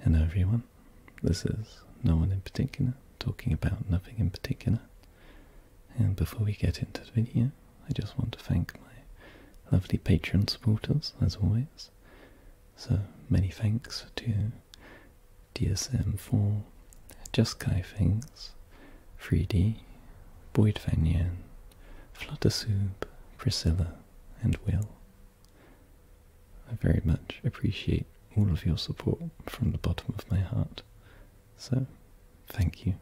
Hello everyone, this is No One in Particular talking about nothing in particular. And before we get into the video, I just want to thank my lovely Patreon supporters, as always. So many thanks to DSM4, Just Kai Things, 3D, Boyd Fanyan, Fluttersoob, Priscilla, and Will. I very much appreciate all of your support from the bottom of my heart. So, thank you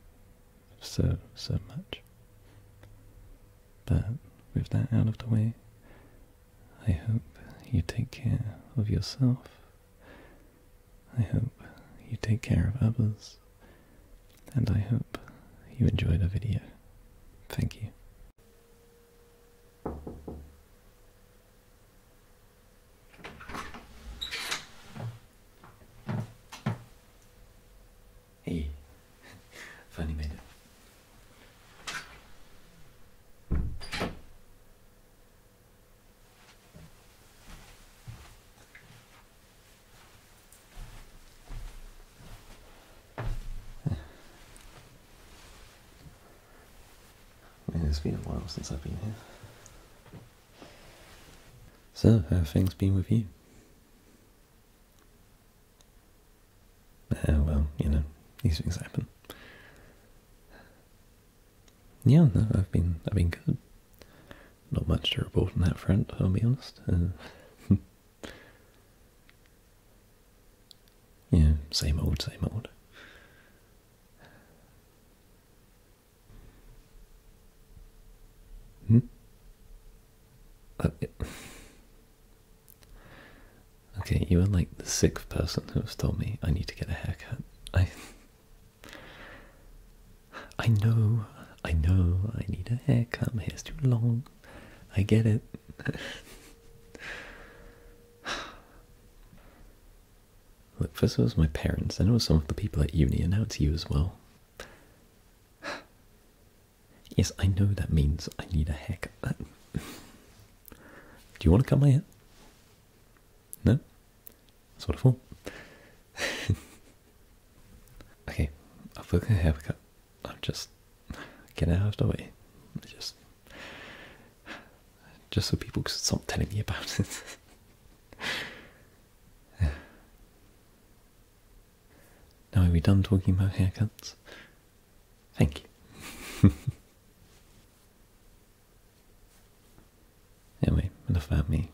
so, so much. But with that out of the way, I hope you take care of yourself. I hope you take care of others. And I hope you enjoyed the video. Thank you. Hey, funny man it's been a while since I've been here. So, how have things been with you? Uh, well, you know, these things happen. Yeah, I've been, I've been good. Not much to report on that front, I'll be honest. Uh, Yeah, same old, same old. Hmm? Okay, you are like the sixth person who has told me I need to get a haircut. I I know, I know I need a haircut, my hair's too long. I get it. Look, first it was my parents, then it was some of the people at uni, and now it's you as well. Yes, I know that means I need a haircut. Do you want to cut my hair? No? sort of. I thought. okay, I'll book a haircut. I'm just... Get out of the way. Just just so people could stop telling me about it. now, are we done talking about haircuts? Thank you. anyway, enough about me.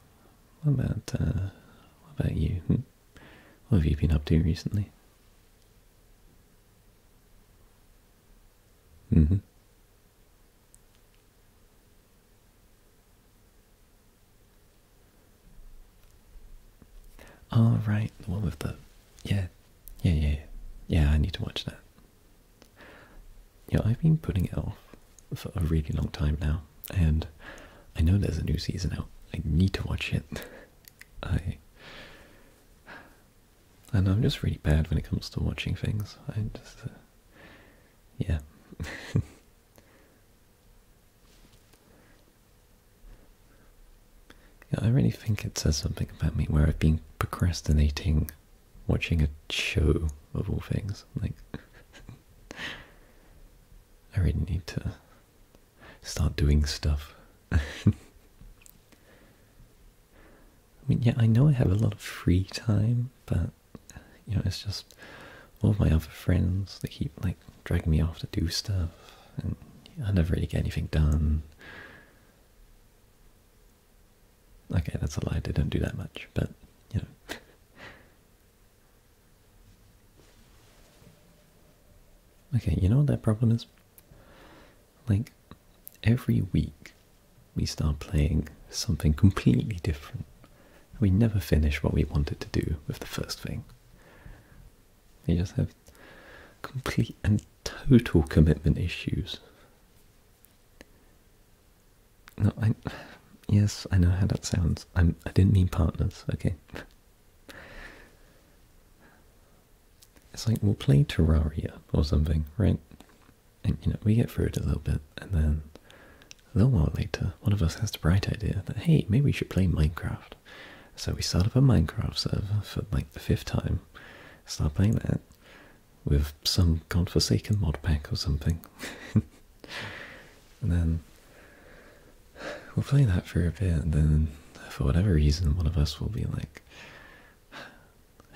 What about uh, what about you? Hmm. What have you been up to recently? Mm-hmm. All the one with the yeah, yeah, yeah, yeah. I need to watch that. Yeah, I've been putting it off for a really long time now, and I know there's a new season out. I need to watch it I I I'm just really bad when it comes to watching things. I just uh, yeah. yeah, I really think it says something about me where I've been procrastinating watching a show of all things. Like I really need to start doing stuff. I mean, yeah, I know I have a lot of free time, but you know, it's just all of my other friends they keep like dragging me off to do stuff, and I never really get anything done. Okay, that's a lie. They don't do that much, but you know. okay, you know what that problem is? Like every week, we start playing something completely different. We never finish what we wanted to do with the first thing. You just have complete and total commitment issues. No, I. Yes, I know how that sounds. I'm. i did not mean partners. Okay it's like we'll play Terraria or something, right? And you know, we get through it a little bit, and then a little while later, one of us has the bright idea that hey, maybe we should play Minecraft. So we start up a Minecraft server for like the fifth time, start playing that with some godforsaken mod pack or something. and then we'll play that for a bit, and then for whatever reason, one of us will be like,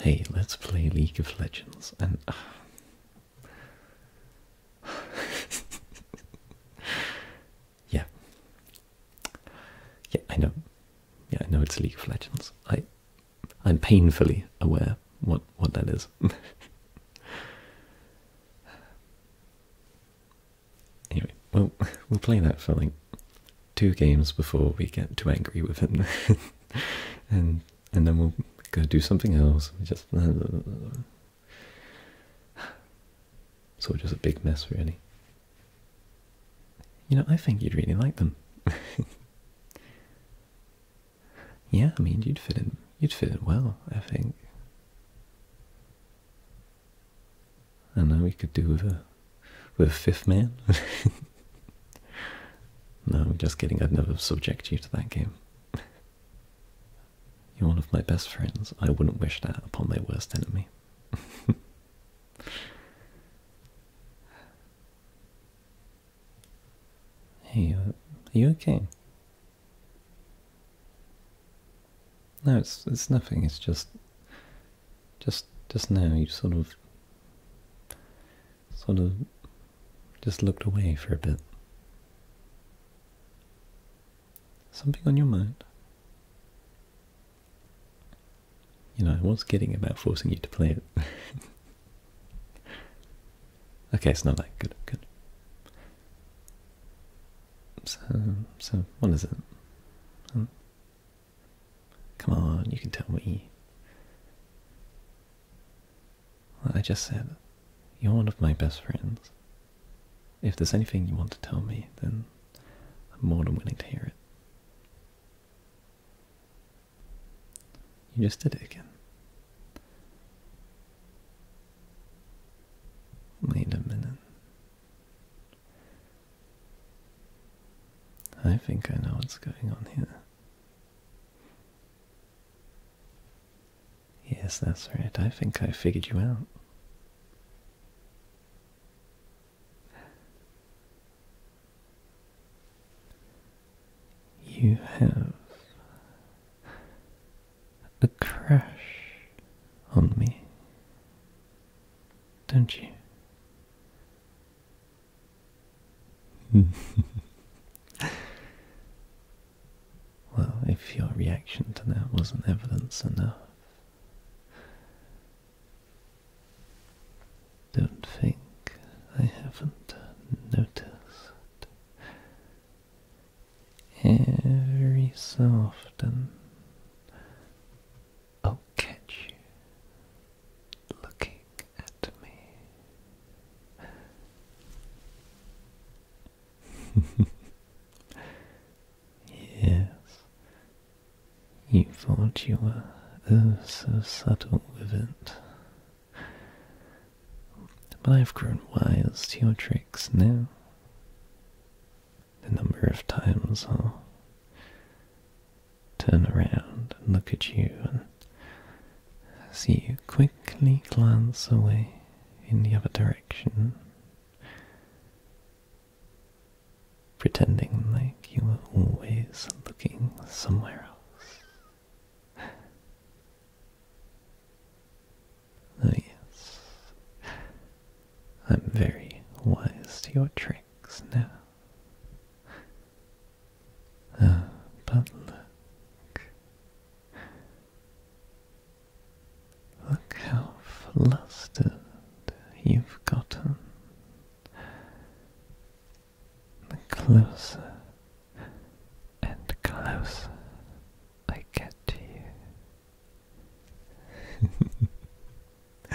hey, let's play League of Legends. And. Uh, yeah. Yeah, I know. Yeah, I know it's League of Legends. I, I'm painfully aware what what that is. Anyway, well, we'll play that for like two games before we get too angry with him, and and then we'll go do something else. Just so just a big mess, really. You know, I think you'd really like them. yeah, I mean, you'd fit in. You'd fit in well, I think. And then we could do with a with a fifth man. no, I'm just kidding. I'd never subject you to that game. You're one of my best friends. I wouldn't wish that upon my worst enemy. hey, uh, are you okay? No, it's it's nothing. It's just just just now you sort of sort of just looked away for a bit. Something on your mind? You know, I was getting about forcing you to play it. okay, it's not like good. Good. So, so what is it? Um, Come on, you can tell me. I just said, you're one of my best friends. If there's anything you want to tell me, then I'm more than willing to hear it. You just did it again. Wait a minute. I think I know what's going on here. Yes, that's right. I think I figured you out. You have a crush on me don't you? well, if your reaction to that wasn't evidence enough, don't think I haven't noticed. Every soft and i oh, catch you looking at me. yes, you thought you were oh so subtle with it. But I've grown wise to your tricks now the number of times I'll turn around and look at you and see you quickly glance away in the other direction, pretending like you were always looking somewhere else. Oh, yes, I'm very wise to your tricks now. Ah, but look. Look how flustered you've gotten. The closer and closer I get to you,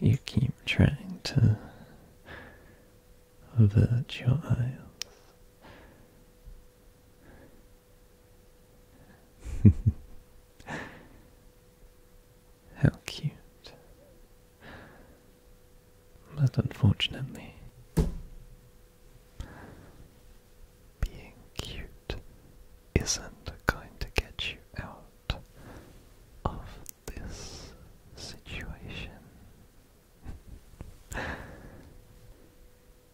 you keep trying to avert your eyes. How cute. But unfortunately, being cute isn't going to get you out of this situation.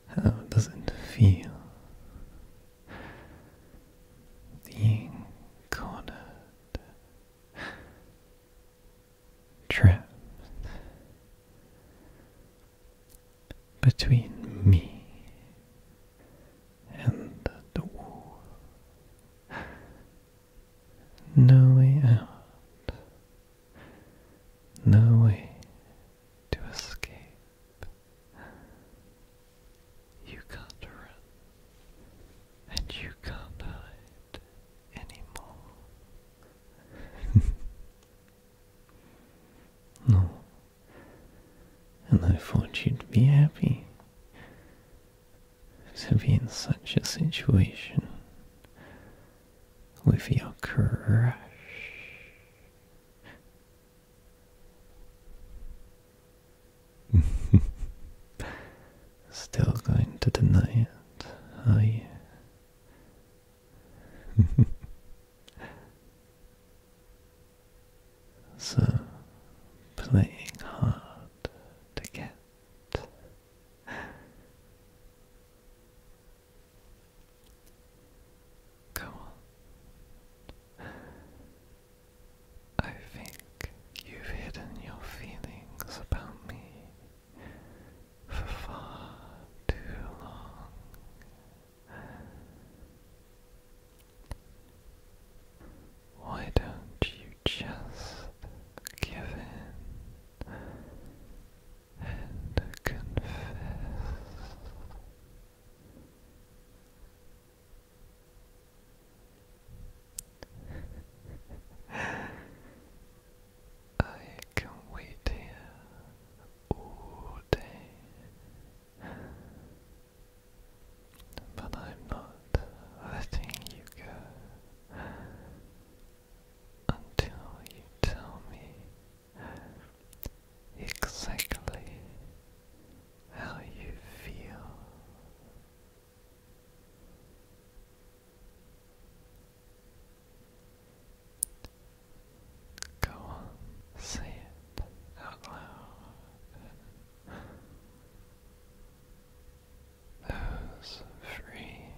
How does it feel being cornered, trapped, between me and the wall. No way out, no way to escape. You can't run, and you can't hide anymore. No. And I thought you'd be happy to be in such a situation with your crush. Still going to deny it, are you? so playing hard to get. Come on. I think you've hidden your feelings about me for far too long. Why don't you just give in and confess? I can wait here all day, but I'm not letting you go until you tell me exactly how you feel. Go on, say it out loud. Those free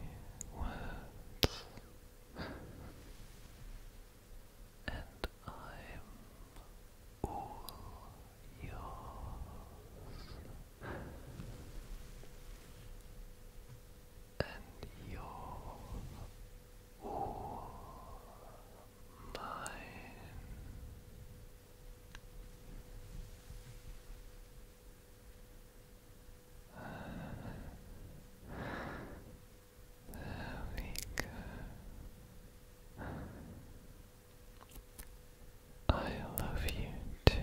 words, and I'm all yours, and you're Oh, mine. there we go. I love you too.